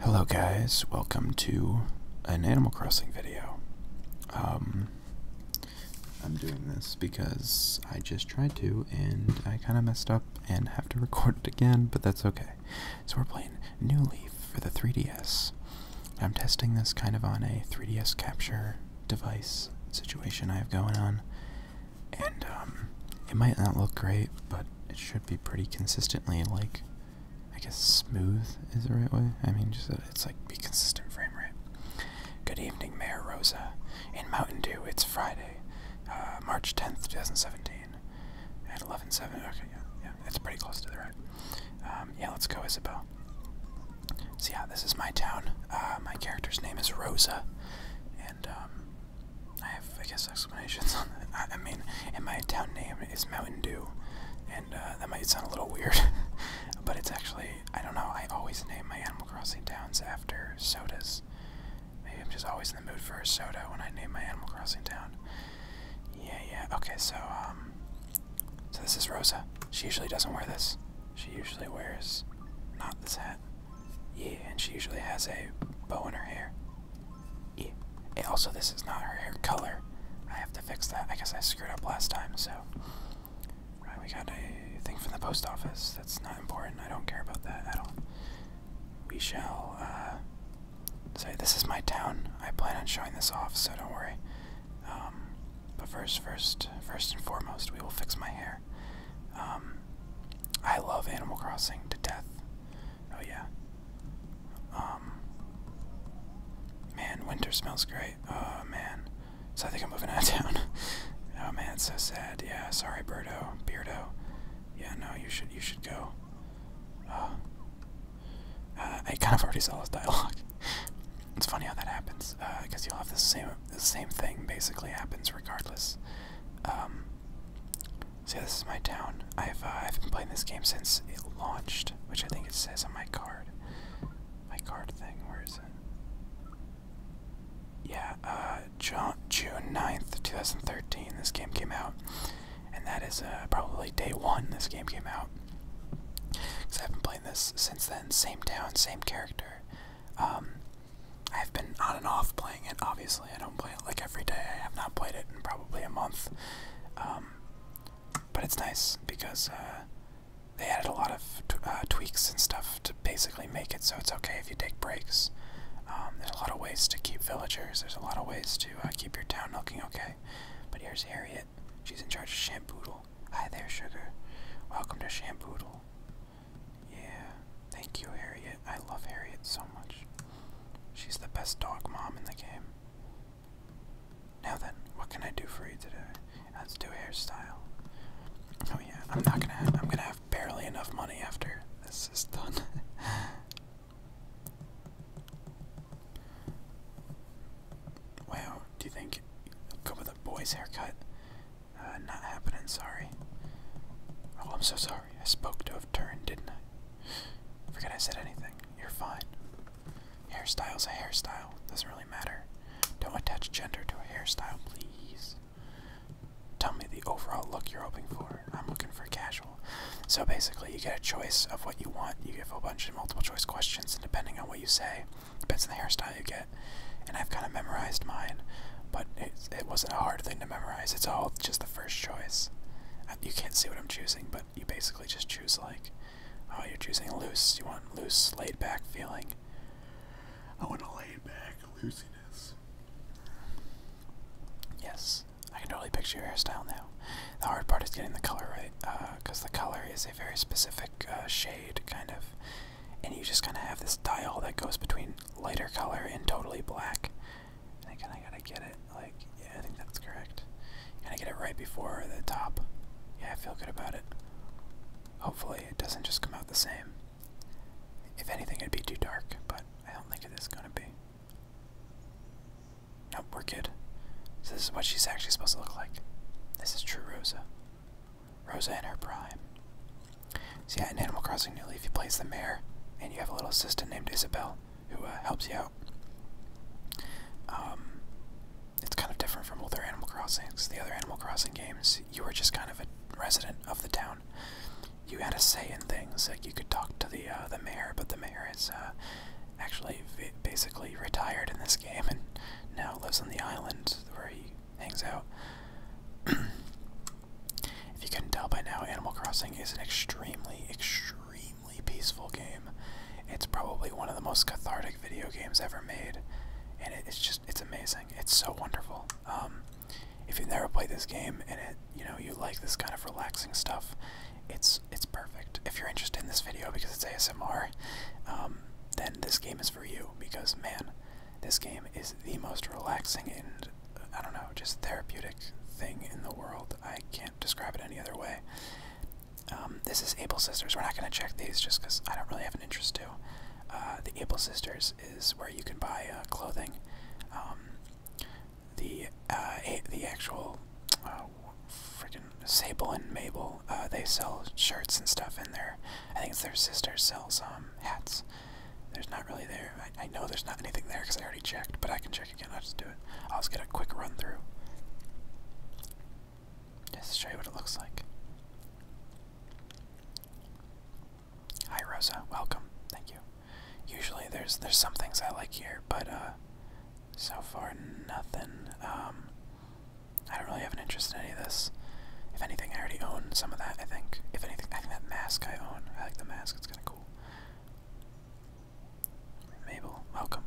Hello guys, welcome to an Animal Crossing video. Um, I'm doing this because I just tried to and I kind of messed up and have to record it again, but that's okay. So we're playing New Leaf for the 3DS. I'm testing this kind of on a 3DS capture device situation I have going on, and um, it might not look great, but it should be pretty consistently like I guess smooth is the right way. I mean, just uh, it's like be consistent frame rate. Good evening, Mayor Rosa. In Mountain Dew, it's Friday, uh, March 10th, 2017, at 11:07. Okay, yeah, yeah, it's pretty close to the right. Um, yeah, let's go, Isabel. See, yeah, this is my town. Uh, my character's name is Rosa, and um, I have, I guess, explanations on that. I, mean, and my town name is Mountain Dew, and uh, that might sound a little weird, but it's actually, I don't know, I always name my Animal Crossing towns after sodas. Maybe I'm just always in the mood for a soda when I name my Animal Crossing town. Yeah, yeah, okay, so, um, so this is Rosa. She usually doesn't wear this. She usually wears not this hat. Yeah, and she usually has a bow in her hair. Yeah. also, this is not her hair color. I have to fix that. I guess I screwed up last time, so. Right, we got a thing from the post office. That's not important. I don't care about that at all. We shall uh, say, This is my town. I plan on showing this off, so don't worry. Um, but first, first, first and foremost, we will fix my hair. Um, I love Animal Crossing to death. Oh yeah. Um. Man, winter smells great. Oh man. So I think I'm moving out of town. oh man, so sad. Yeah, sorry, Birdo, Beardo. Yeah, no, you should you should go. Uh, uh I kind of already saw this dialogue. it's funny how that happens, because uh, you'll have the same the same thing basically happens regardless. Um, so this is my town. I've uh, I've been playing this game since it launched, which I think it says on my card. My card thing. Where is it? Yeah, uh, June 9th, 2013. This game came out, and that is uh, probably day one. This game came out. Cause I've been playing this since then. Same town, same character. Um, I've been on and off playing it, obviously. I don't play it like every day. I have not played it in probably a month. Um, but it's nice because uh, they added a lot of uh, tweaks and stuff to basically make it so it's okay if you take breaks. Um, there's a lot of ways to keep villagers. There's a lot of ways to uh, keep your town looking okay. But here's Harriet. She's in charge of Shamboodle. Hi there, sugar. Welcome to Shamboodle. Yeah. Thank you, Harriet. I love Harriet so much. She's the best dog mom in the game. Now then, what can I do for you today? Let's do a hairstyle. Oh yeah, I'm not gonna. Have, I'm gonna have barely enough money after this is done. wow, do you think go with a boy's haircut? Uh, not happening. Sorry. Oh, I'm so sorry. I spoke to have turned, didn't I? I forget I said anything. You're fine. Hairstyle's a hairstyle. Doesn't really matter. Don't attach gender to a hairstyle, please. Tell me the overall look you're hoping for. I'm looking for casual. So basically, you get a choice of what you want. You give a bunch of multiple choice questions, and depending on what you say, depends on the hairstyle you get. And I've kind of memorized mine, but it, it wasn't a hard thing to memorize. It's all just first choice. Uh, you can't see what I'm choosing, but you basically just choose like, oh, you're choosing loose. You want loose, laid back feeling. I want a laid back loosiness. Yes, I can totally picture your hairstyle now. The hard part is getting the color right, because uh, the color is a very specific uh, shade, kind of. And you just kind of have this dial that goes between lighter color and totally black. And again, I gotta get it, like, yeah, I think that's correct. Gotta get it right before the top. Yeah, I feel good about it. Hopefully, it doesn't just come out the same. If anything, it'd be too dark, but I don't think it is gonna be. Nope, we're good. So this is what she's actually supposed to look like. This is true Rosa. Rosa in her prime. So yeah, in Animal Crossing New Leaf, you play as the mayor, and you have a little assistant named Isabel who uh, helps you out. Um, it's kind of different from other Animal Crossings. The other Animal Crossing games, you were just kind of a resident of the town. You had a say in things, like you could talk to the uh, the mayor, but the mayor is uh, actually basically retired in this game and now lives on the island where he hangs out. If you can tell by now, Animal Crossing is an extremely, extremely peaceful game. It's probably one of the most cathartic video games ever made, and it's just, it's amazing. It's so wonderful. Um, if you've never played this game and it, you know, you like this kind of relaxing stuff, it's it's perfect. If you're interested in this video because it's ASMR, um, then this game is for you because man, this game is the most relaxing and I don't know, just therapeutic thing in the world. I can't describe it any other way. Um, this is Able Sisters. We're not going to check these just because I don't really have an interest to. Uh, the Able Sisters is where you can buy uh, clothing. Um, the uh, the actual uh, Sable and Mabel, they sell shirts and stuff in there. I think it's their sister sells um, hats. There's not really there. I, know there's not anything there because I already checked, but I can check again. I'll just do it. I'll just get a quick run through. Just show you what it looks like. Hi Rosa, welcome. Thank you. Usually there's there's some things I like here, but uh so far nothing. Um I don't really have an interest in any of this. If anything I already own some of that I think. If anything I think that mask I own. I like the mask, it's kinda Mabel, welcome.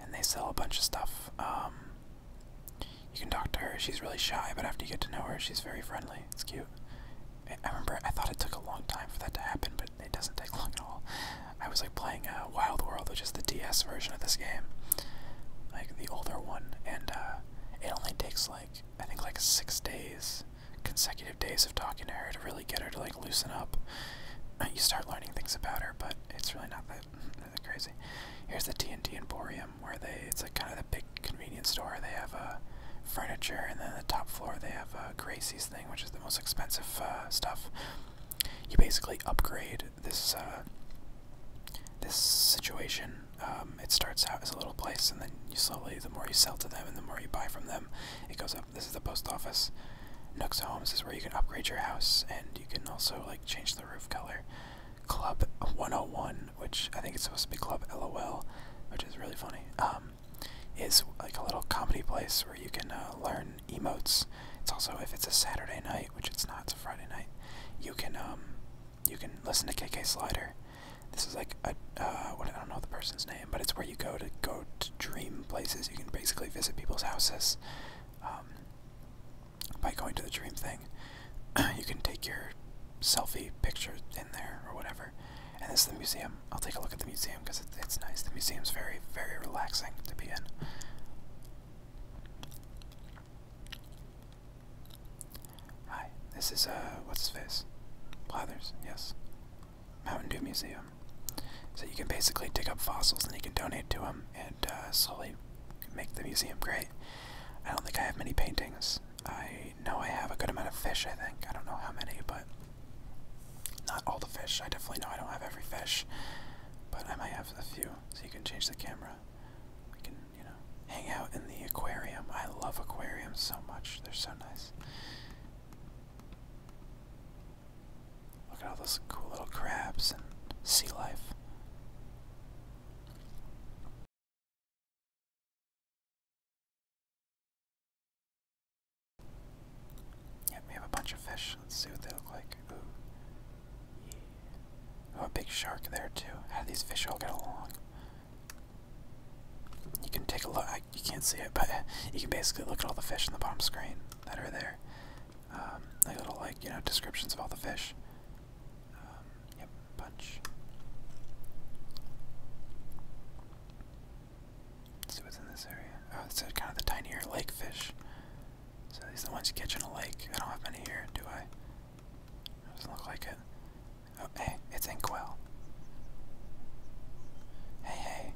And they sell a bunch of stuff. Um, you can talk to her. She's really shy, but after you get to know her, she's very friendly. It's cute. I remember I thought it took a long time for that to happen, but it doesn't take long at all. I was like playing uh, Wild World, which is the DS version of this game, like the older one, and uh, it only takes like I think like six days consecutive days of talking to her to really get her to like loosen up. Uh, you start learning things about her, but it's really not that, that crazy. Here's the TNT Emporium, where they it's like kind of the big convenience store. They have uh, furniture, and then the top floor they have uh, Gracie's thing, which is the most expensive uh, stuff. You basically upgrade this uh, this situation um, it starts out as a little place, and then you slowly, the more you sell to them and the more you buy from them, it goes up. This is the post office. Nooks Homes is where you can upgrade your house, and you can also like change the roof color. Club 101, which I think it's supposed to be Club LOL, which is really funny. Um, is like a little comedy place where you can uh, learn emotes. It's also if it's a Saturday night, which it's not, it's a Friday night. You can um, you can listen to KK Slider. This is like a uh, I don't know the person's name, but it's where you go to go to dream places. You can basically visit people's houses um, by going to the dream thing. you can take your selfie picture in there or whatever. And this is the museum. I'll take a look at the museum because it, it's nice. The museum's very very relaxing to be in. Hi, this is, uh, what's his face? Blathers, yes. Mountain Dew Museum. So you can basically dig up fossils and you can donate to them and uh, slowly make the museum great. I don't think I have many paintings. I know I have a good amount of fish, I think. I don't know how many, but not all the fish. I definitely know I don't have every fish, but I might have a few. So you can change the camera. We can you know, hang out in the aquarium. I love aquariums so much. They're so nice. Look at all those cool little crabs and sea life. Yep, we have a bunch of fish. Let's see what they look like. Ooh. Oh, a big shark there, too. How do these fish all get along? You can take a look. you can't see it, but you can basically look at all the fish in the bottom screen that are there. Um, little, like you know, descriptions of all the fish. Um, yep, punch. Let's see what's in this area. Oh, it's kind of the tinier lake fish. So these are the ones you catch in a lake. I don't have many here, do I? Doesn't look like it. Oh, it's Inkwell. Hey, hey.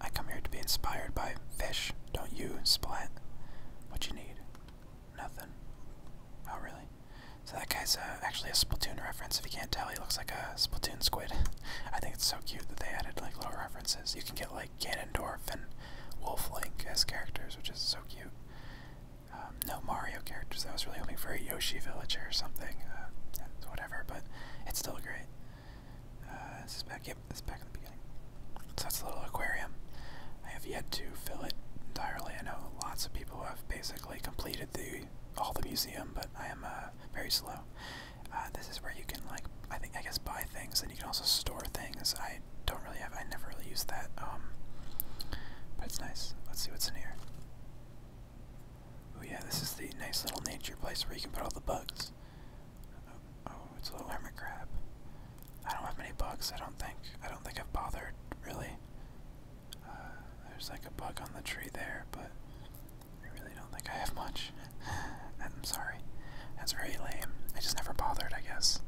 I come here to be inspired by fish, don't you, Splat? What you need? Nothing. Oh, really? So that guy's uh, actually a Splatoon reference. If you can't tell, he looks like a Splatoon squid. I think it's so cute that they added like little references. You can get like Ganondorf and Wolf Link as characters, which is so cute. Um, no Mario characters. I was really hoping for a Yoshi villager or something. Uh, whatever, but it's still great. Uh, this is back. Yep, the beginning. So that's a little aquarium. I have yet to fill it entirely. I know lots of people have basically completed the all the museum, but I am uh, very slow. Uh, this is where you can like I think I guess buy things, and you can also store things. I don't really have. I never really used that. Um, but it's nice. Let's see what's in here. Oh yeah, this is the nice little nature place where you can put all the bugs. Oh, oh it's a little hermit crab. I don't have many bugs, I don't think. I don't think I've bothered, really. Uh, there's like a bug on the tree there, but I really don't think I have much. I'm sorry. That's very lame. I just never bothered, I guess.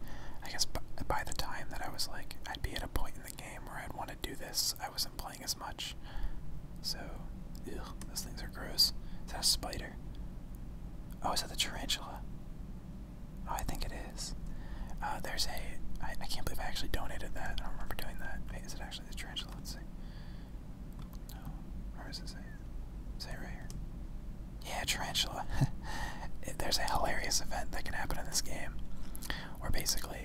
I guess by the time that I was like, I'd be at a point in game where I'd want to do this. I wasn't playing as much. So, ugh, those things are gross. Is that a spider? Oh, is that the tarantula? Oh, I think it is. Uh, there's a. I, I can't believe I actually donated that. I don't remember doing that. Is it actually the tarantula? Let's see. No. Where is it? it right here? Yeah, tarantula. there's a hilarious event that can happen in this game where basically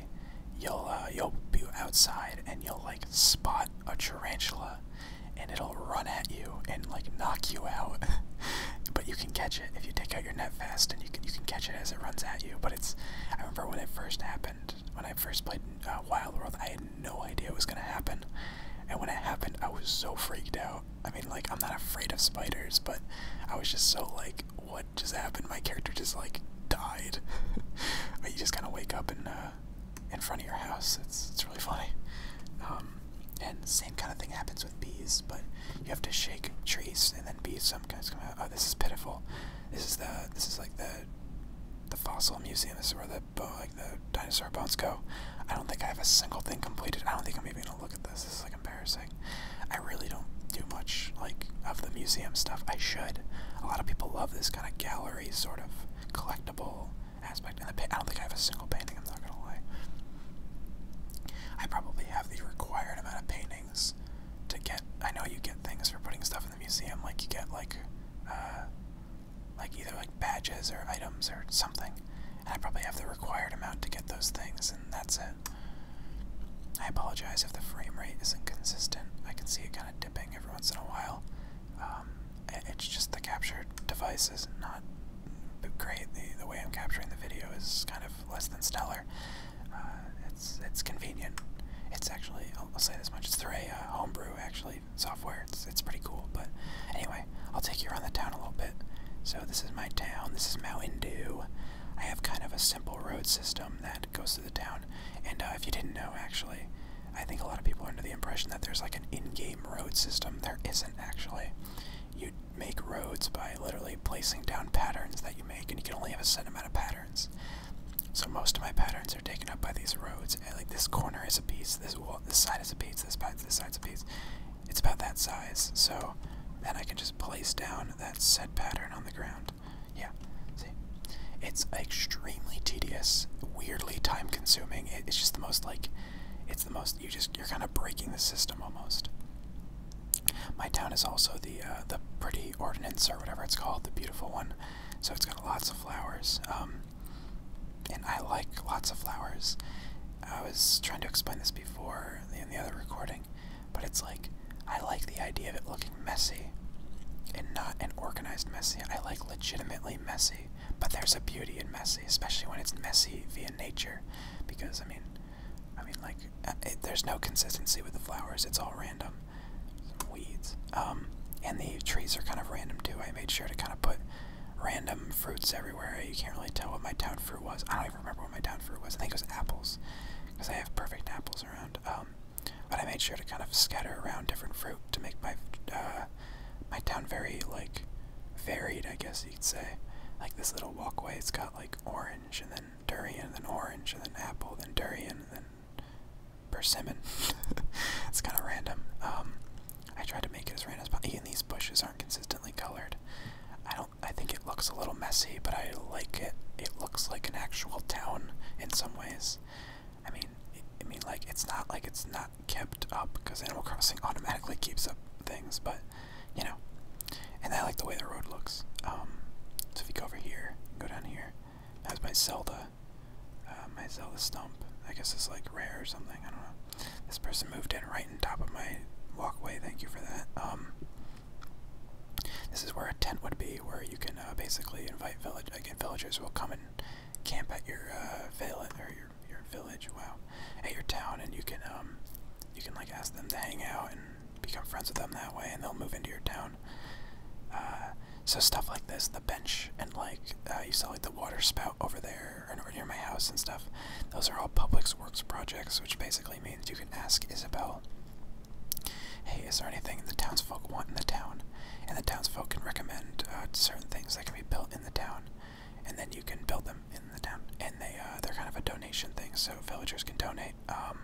you'll uh, you'll be outside and you'll like spot a tarantula, and it'll run at you and like knock you out. but you can catch it if you take out your net fast, and you can you can catch it as it runs at you. But it's I remember when it first happened, when I first played uh, Wild World, I had no idea it was gonna happen, and when it happened, I was so freaked out. I mean, like I'm not afraid of spiders, but I was just so like, what just happened? My character just like died. you just kind of wake up in uh, in front of your house. It's it's really funny. Um, and same kind of thing happens with bees, but you have to shake trees, and then bees sometimes come out. Oh, this is pitiful. This is the this is like the the fossil museum. This is where the like the dinosaur bones go. I don't think I have a single thing completed. I don't think I'm even gonna look at this. This is like embarrassing. I really don't do much like of the museum stuff. I should. A lot of people love this kind of gallery sort of collectible aspect. And the painting I don't think I have a single painting. I'm not gonna lie. I probably have the required amount of paintings to get. I know you get things for putting stuff in the museum, like you get like, uh, like either like badges or items or something. And I probably have the required amount to get those things, and that's it. I apologize if the frame rate isn't consistent. I can see it kind of dipping every once in a while. Um, it's just the capture device is not great. The, the way I'm capturing the video is kind of less than stellar. Uh, it's it's convenient. It's actually I'll, say this much. It's through a uh, homebrew actually software. It's it's pretty cool. But anyway, I'll take you around the town a little bit. So this is my town. This is Mountain Dew. I have kind of a simple road system that goes through the town. And uh, if you didn't know, actually, I think a lot of people are under the impression that there's like an in-game road system. There isn't actually. You make roads by literally placing down patterns that you make, and you can only have a set amount of patterns. So most of my patterns are taken up by these roads. And, like this corner is a piece, this wall, this side is a piece, this side, this side's a piece. It's about that size. So then I can just place down that set pattern on the ground. Yeah, see? It's extremely tedious, weirdly time consuming. it's just the most like, it's the most, you just, you're kind of breaking the system almost. My town is also the, uh, the pretty ordinance or whatever it's called, the beautiful one. So it's got lots of flowers. Um, and I like lots of flowers. I was trying to explain this before in the other recording but it's like I like the idea of it looking messy and not an organized messy. I like legitimately messy, but there's a beauty in messy, especially when it's messy via nature, because I mean, I mean like uh, it, there's no consistency with the flowers. It's all random, Some weeds, um, and the trees are kind of random too. I made sure to kind of put random fruits everywhere. You can't really tell what my town fruit was. I don't even remember what my town fruit was. I think it was apples because I have perfect apples around. Um, but I made sure to kind of scatter around different fruit to make my uh, my town very like varied, I guess you'd say. Like this little walkway, it's got like orange and then durian, and then orange and then apple, and then durian, and then persimmon. it's kind of random. Um, I tried to make it as random as possible. Even these bushes aren't consistently colored. I don't I think it looks a little messy, but I like it. It looks like an actual town in some ways. I mean, I mean, like it's not like it's not kept up because Animal Crossing automatically keeps up things, but you know. And I like the way the road looks. Um, so if you go over here, go down here. That's my Zelda, uh, my Zelda stump. I guess it's like rare or something. I don't know. This person moved in right on top of my walkway. Thank you for that. Um, this is where a tent would be, where you can uh, basically invite village again. Villagers will come and camp at your uh, village or your your village. Wow, at your town, and you can um, you can like ask them to hang out and become friends with them that way, and they'll move into your town. Uh, so stuff like this, the bench, and like you saw like the water spout over there and over near my house and stuff. Those are all public works projects, which basically means you can ask Isabel, hey, is there anything the townsfolk want in the town? And the townsfolk can recommend uh, certain things that can be built in the town, and then you can build them in the town. And they, uh, they're kind of a donation thing, so villagers can donate. the um,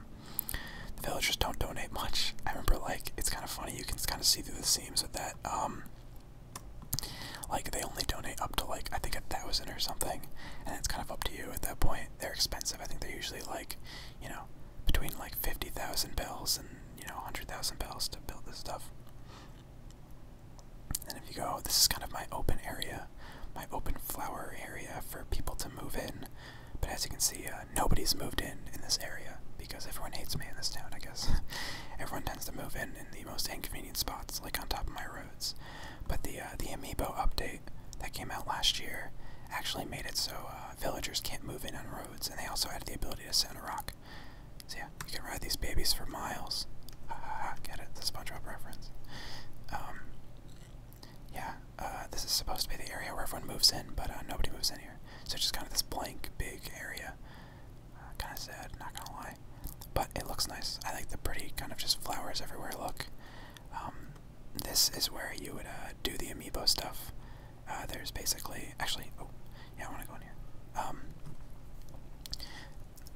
villagers don't donate much. I remember, like, it's kind of funny, you can kind of see through the seams of that. Um, like, they only donate up to, like, I think a thousand or something, and it's kind of up to you at that point they're expensive. I think they're usually like, you know, between like 50,000 bells and, you know, 100,000 bells to build this stuff. And if you go, this is kind of my open area, my open flower area for people to move in. But as you can see, uh, nobody's moved in in this area because everyone hates me in this town, I guess. everyone tends to move in in the most inconvenient spots, like on top of my roof. But the uh, the amiibo update that came out last year actually made it so uh, villagers can't move in on roads, and they also added the ability to send a rock. So yeah, you can ride these babies for miles. get it? The SpongeBob reference. Um, yeah, uh, this is supposed to be the area where everyone moves in, but nobody moves in here. So it's just kind of this blank, big area. kind of sad, not gonna lie. But it looks nice. I like the pretty, kind of just flowers everywhere look. Um, this is where you would uh, do the amiibo stuff. Uh, there's basically, actually, oh, yeah, I want to go in here. Um,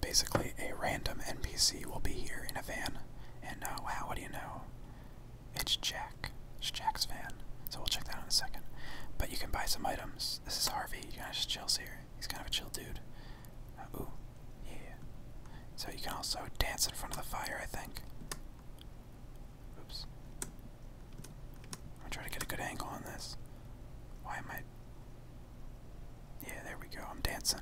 basically, a random NPC will be here in a van, and now, uh, how do you know? It's Jack. It's Jack's van. So we'll check that in a second. But you can buy some items. This is Harvey. You can just chills here. He's kind of a chill dude. Uh, yeah. So you can also dance in front of the fire, I think. Oops. I'm trying to get a good angle on this. Why am I? Yeah, there we go. I'm dancing.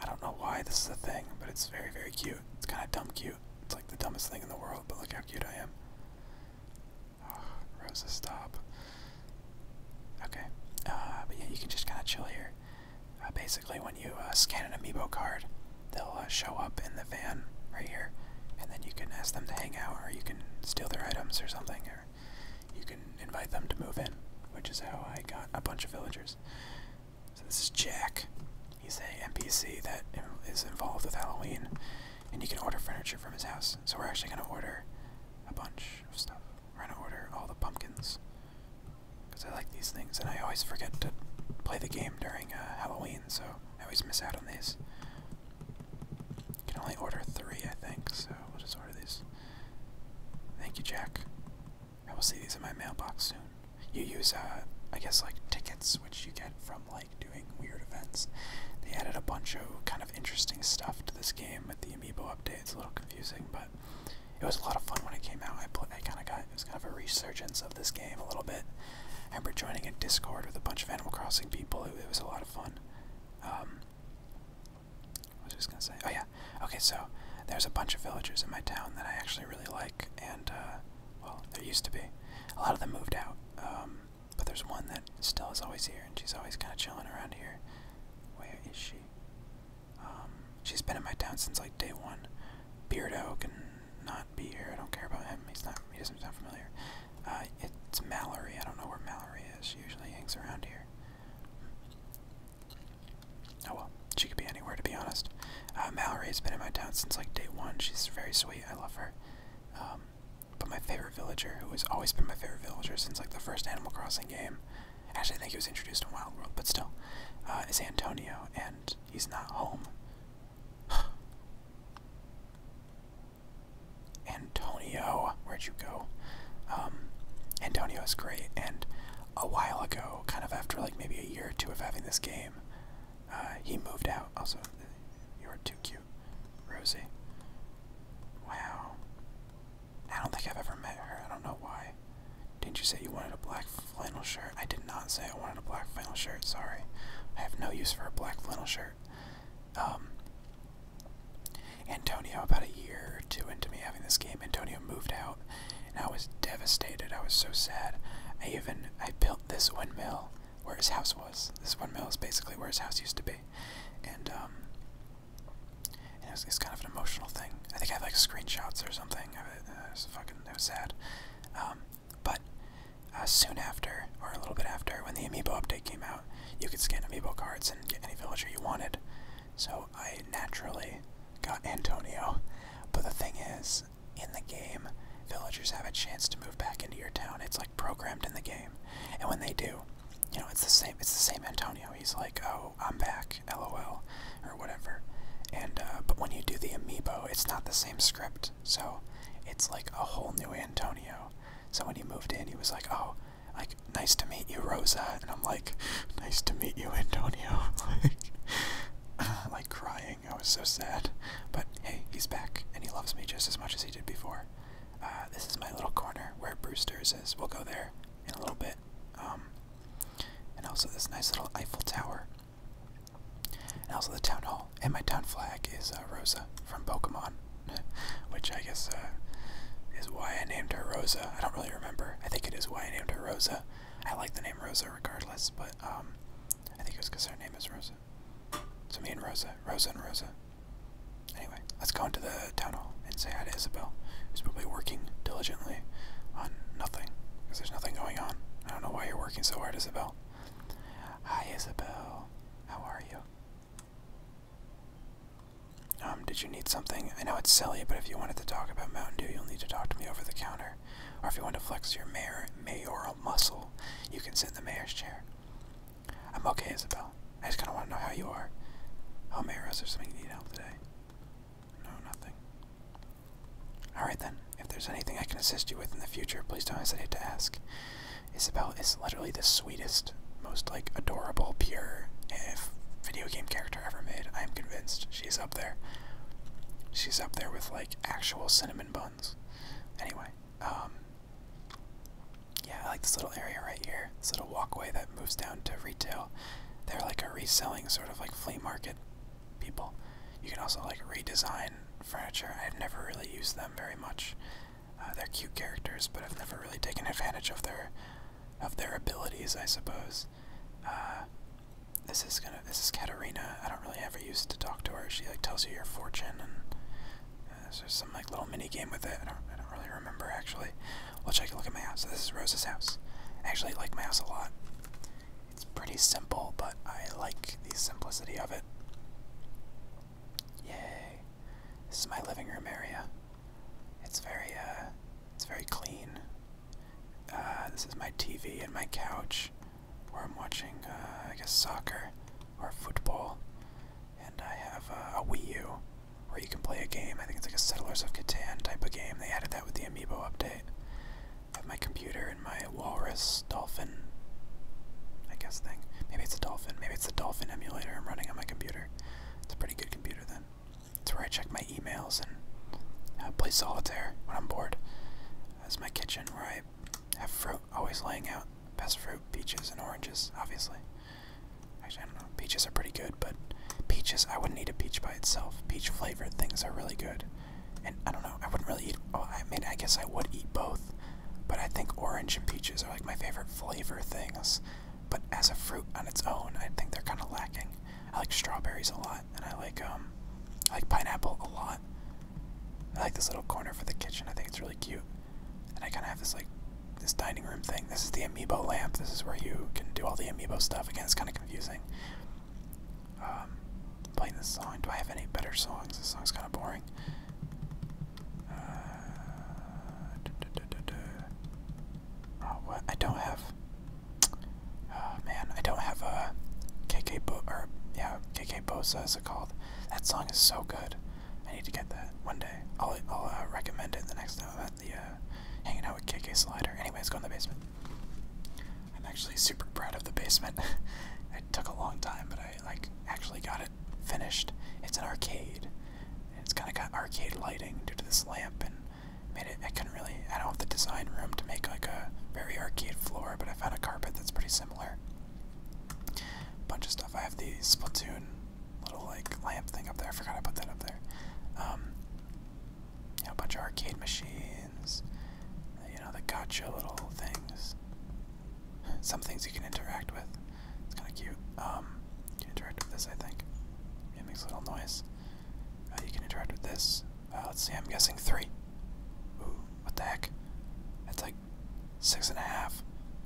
I don't know why this is a thing, but it's very, very cute. It's kind of dumb cute. It's like the dumbest thing in the world, but look how cute I am. Ah, Rosa, stop. Okay. Uh, but yeah, you can just kind of chill here. Uh, basically, when you uh, scan an amiibo card, they'll uh, show up in the van right here, and then you can ask them to hang out, or you can steal their items or something, or you can invite them to move in, which is how I got a bunch of villagers. So this is Jack. He's a NPC that is involved with Halloween, and you can order furniture from his house. So we're actually going to order a bunch of stuff. We're gonna order all the pumpkins. Because I like these things, and I always forget to play the game during uh, Halloween, so I always miss out on these. You can only order three, I think, so we'll just order these. Thank you, Jack. I will see these in my mailbox soon. You use, uh, I guess, like tickets, which you get from like doing weird events. They added a bunch of kind of interesting stuff to this game with the amiibo update. It's a little confusing, but it was a lot of fun when it came out. I put, I kind of got it was kind of a resurgence of this game a little bit. I remember joining a Discord with a bunch of Animal Crossing people. It, was a lot of fun. Um, I was just gonna say? Oh yeah. Okay, so there's a bunch of villagers in my town that I actually really like, and uh, well, there used to be. A lot of them moved out, um, but there's one that still is always here, and she's always kind of chilling around here. Where is she? Um, she's been in my town since like day one. Beardo can not be here. I don't care about him. He's not. He doesn't sound familiar. Uh, it's Mallory. I don't know where Mallory is. She usually hangs around here. Oh well, she could be anywhere to be honest. Uh, Mallory's been in my town since like day one. She's very sweet. I love her. Um, but my favorite villager, who has always been my favorite villager since like the first Animal Crossing game, Actually, I think he was introduced in Wild World, but still, uh, it's Antonio, and he's not home. Antonio, where'd you go? Um, Antonio is great, and a while ago, kind of after like maybe a year or two of having this game, uh, he moved out. Also, you are too cute, Rosie. Wow. I don't think I've ever met her. I don't know why. Didn't you say you wanted a black flannel shirt? I did not say I wanted a black flannel shirt. Sorry. I have no use for a black flannel shirt. Um, Antonio, about a year or two into me having this game, Antonio moved out, and I was devastated. I was so sad. I even I built this windmill where his house was. This windmill is basically where his house used to be, and um, it's kind of an emotional thing. I think I have like screenshots or something of it. Uh, was fucking, it was sad. Um, but uh, soon after, or a little bit after, when the amiibo update came out, you could scan amiibo cards and get any villager you wanted. So I naturally got Antonio. But the thing is, in the game, villagers have a chance to move back into your town. It's like programmed in the game, and when they do, you know, it's the same. It's the same Antonio. He's like, oh, I'm back, lol, or whatever. And uh, but when you do the amiibo, it's not the same script, so it's like a whole new Antonio. So when he moved in, he was like, oh, like nice to meet you, Rosa, and I'm like, nice to meet you, Antonio. like, like crying, I was so sad. But hey, he's back, and he loves me just as much as he did before. Uh, this is my little corner where Brewster's is. We'll go there in a little bit. Um, and also this nice little Eiffel Tower. And also the town hall. And my town flag is uh, Rosa from Pokemon, which I guess uh, is why I named her Rosa. I don't really remember. I think it is why I named her Rosa. I like the name Rosa regardless, but um, I think it was because her name is Rosa. So me and Rosa, Rosa and Rosa let's go into the tunnel and say hi to Isabel, who's probably working diligently on nothing, because there's nothing going on. I don't know why you're working so hard, Isabel. Hi, Isabel. How are you? Um, did you need something? I know it's silly, but if you wanted to talk about Mountain Dew, you'll need to talk to me over the counter. Or if you want to flex your mayor, mayoral muscle, you can sit in the mayor's chair. I'm okay, Isabel. I just kind of want to know how you are. Oh, Mayor, is there something you need help with today? No, nothing. Alright then, if there's anything I can assist you with in the future, please don't hesitate to ask. Isabel is literally the sweetest, most like adorable, pure if video game character ever made. I am convinced she's up there. She's up there with like actual cinnamon buns. Anyway, um yeah, I like this little area right here. This little walkway that moves down to retail. They're like a reselling sort of like flea market people. You can also like redesign furniture. I've never really used them very much. Uh, they're cute characters, but I've never really taken advantage of their of their abilities, I suppose. Uh, this is gonna this is Katarina. I don't really ever used to talk to her. She like tells you your fortune and uh, there's some like little mini game with it. I don't I don't really remember actually. We'll take a look at my house. this is Rose's house. I actually like my house a lot. It's pretty simple, but I like the simplicity of it. Yay. This is my living room area. It's very uh it's very clean. Uh this is my TV and my couch where I'm watching uh I guess soccer or football. And I have uh, a Wii U where you can play a game. I think it's like a Settlers of Catan type of game. They added that with the Amiibo update. I my computer and my walrus dolphin, I guess, thing. Maybe it's a dolphin. Maybe it's a dolphin emulator I'm running on my computer. It's a pretty good computer then. It's where I check my emails and uh, play solitaire when I'm bored. That's my kitchen where I have fruit always laying out. Best fruit, peaches, and oranges, obviously. Actually, I don't know. Peaches are pretty good, but peaches, I wouldn't eat a peach by itself. Peach flavored things are really good. And I don't know, I wouldn't really eat. Oh, I mean, I guess I would eat both. But I think orange and peaches are like my favorite flavor things. But as a fruit on its own, I think they're kind of lacking. I like strawberries a lot, and I like um, I like pineapple a lot. I like this little corner for the kitchen. I think it's really cute. And I kind of have this like this dining room thing. This is the amiibo lamp. This is where you can do all the amiibo stuff. Again, it's kind of confusing. Um, playing this song. Do I have any better songs? This song is kind of boring. Uh, oh, what? I don't have. Oh man, I don't have a uh, KK Bo or yeah, KK Bosa is it called? That song is so good. I need to get that one day. I'll I'll uh, recommend it the next time uh, hanging out with KK Slider. Anyways, let's go in the basement. I'm actually super proud of the basement. it took a long time, but I, like, actually got it finished. It's an arcade. It's kind of got arcade lighting due to this lamp, and made it, I couldn't really, I don't have the design room to make, like, a very arcade floor, but I found a carpet that's pretty similar. Bunch of stuff. I have the Splatoon little like lamp thing up there. I forgot I put that up there. Um, you know, bunch of arcade machines. You know, the gotcha little things. Some things you can interact with. It's kind of cute. Um, you can interact with this, I think. It makes a little noise. Uh, you can interact with this. Uh, let's see, I'm guessing three. Ooh, what the heck? That's like six and a half.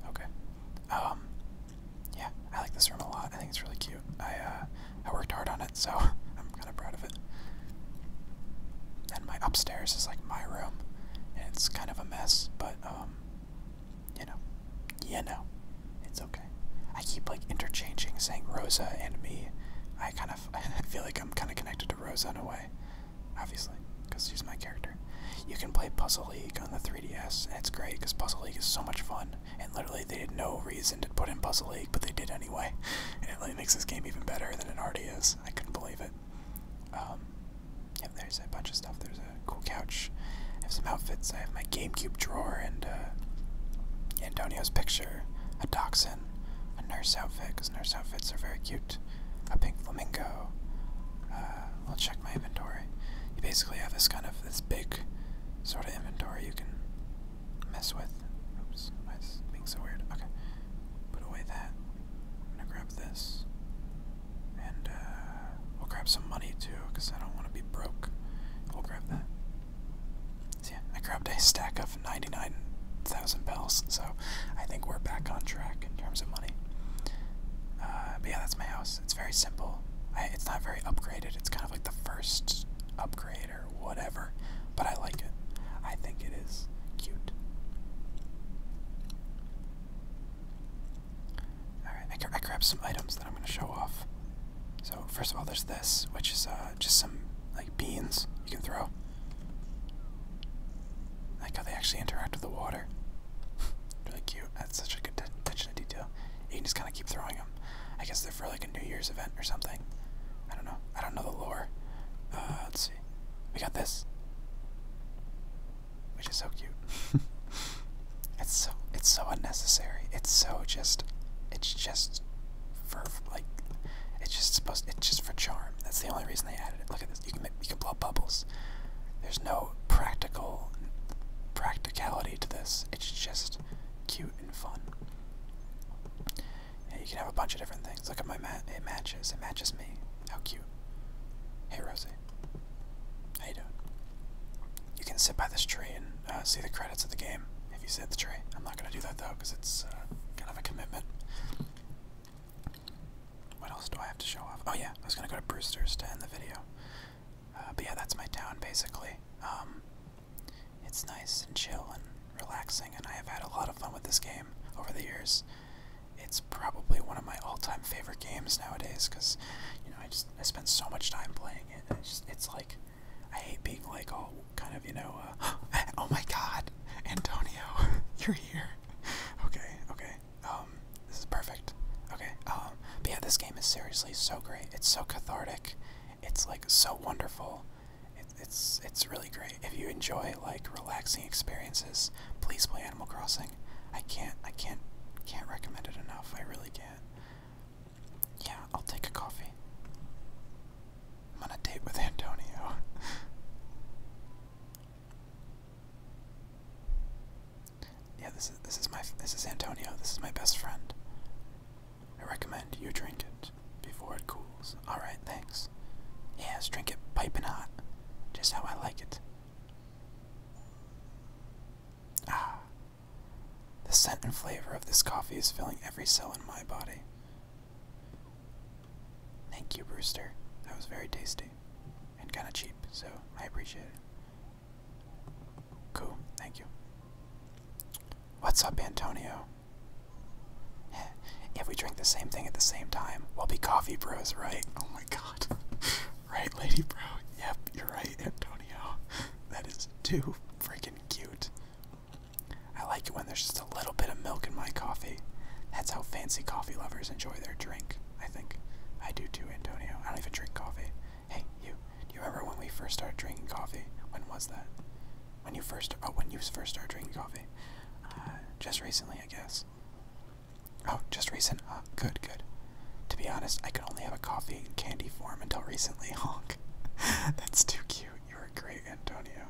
Okay. Um, yeah, I like this room a lot. I think it's really cute. I uh, I worked hard on it, so I'm kind of proud of it. And my upstairs is like my room, and it's kind of a mess, but um, you know, yeah, no, it's okay. I keep like interchanging saying Rosa and me. I kind of feel like I'm kind of connected to Rosa in a way, obviously, because she's my character. You can play Puzzle League on the 3DS, and it's great because Puzzle League is so much fun and literally they had no reason to put in Puzzle League, but they did anyway, and it makes this game even better than it already is. I couldn't believe it. Um, there's a bunch of stuff. There's a cool couch. I have some outfits. I have my GameCube drawer and uh, Antonio's picture, a dachshund, a nurse outfit, because nurse outfits are very cute, a pink flamingo, uh, I'll check my inventory. You basically have this kind of this big sort of inventory you can mess with. Oops, why is being so weird? Okay, put away that. I'm gonna grab this, and uh, we'll grab some money too, cause I don't want to be broke. We'll grab that. So yeah, I grabbed a stack of ninety-nine thousand bells, so I think we're back on track in terms of money. Uh, but yeah, that's my house. It's very simple. it's not very upgraded. It's kind of like the first upgrade or whatever, but I like it. I think it is cute. Alright, I, grabbed some items that I'm going to show off. So, first of all, there's this, which is uh, just some like beans you can throw. like how they actually interact with the water really cute. That's such a good attention to detail. You can just kind of keep throwing them. I guess they're for like a New Year's event or something. I don't know. I don't know the lore. Uh, let's see. We got this, which is so cute. it's so it's so unnecessary. It's so just it's just for like it's just supposed it's just for charm. That's the only reason they added it. Look at this. You can you can blow bubbles. There's no practical practicality to this. It's just cute and fun. you can have a bunch of different things. Look at my mat. It matches. It matches me. How cute. Hey, Rosie. How you doing? You can sit by this tree and uh, see the credits of the game if you sit the tree. I'm not gonna do that though, cause it's uh, kind of a commitment. What else do I have to show off? Oh yeah, I was gonna go to Brewster's to end the video. Uh, but yeah, that's my town basically. Um, it's nice and chill and relaxing, and I have had a lot of fun with this game over the years. It's probably one of my all-time favorite games nowadays because, you know, I just I spend so much time playing it. It's, like I hate being like all kind of you know. Uh, oh my God, Antonio, you're here. Okay, okay. Um, this is perfect. Okay. Um, but yeah, this game is seriously so great. It's so cathartic. It's like so wonderful. It, it's it's really great. If you enjoy like relaxing experiences, please play Animal Crossing. I can't I can't can't recommend it enough. I really can't. Yeah, I'll take a coffee. I'm on a date with Antonio. Yeah, this is this is my this is Antonio. This is my best friend. I recommend you drink it before it cools. All right, thanks. Yes, drink it piping hot, just how I like it. Ah, the scent and flavor of this coffee is filling every cell in my body. Thank you, Brewster. That was very tasty and kind of cheap, so I appreciate it. Cool, thank you. What's up, Antonio? If we drink the same thing at the same time, we'll be coffee bros, right? Oh my god. right, lady bro? Yep, you're right, Antonio. That is too freaking cute. I like it when there's just a little bit of milk in my coffee. That's how fancy coffee lovers enjoy their drink, I think. I do too, Antonio. I don't even drink coffee. Hey, you. Do you remember when we first started drinking coffee? When was that? When you first. Oh, when you first started drinking coffee? Uh, just recently, I guess. Oh, just recent? Uh, good, good. To be honest, I could only have a coffee in candy form until recently, honk. That's too cute. You're a great, Antonio.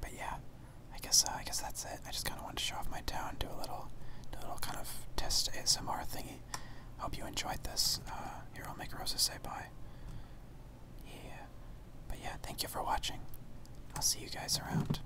But yeah, I guess uh, I guess that's it. I just kind of wanted to show off my town, do a little, do a little kind of test ASMR thingy. Hope you enjoyed this. Uh, here, I'll make Rosa say bye. Yeah. But yeah, thank you for watching. I'll see you guys around.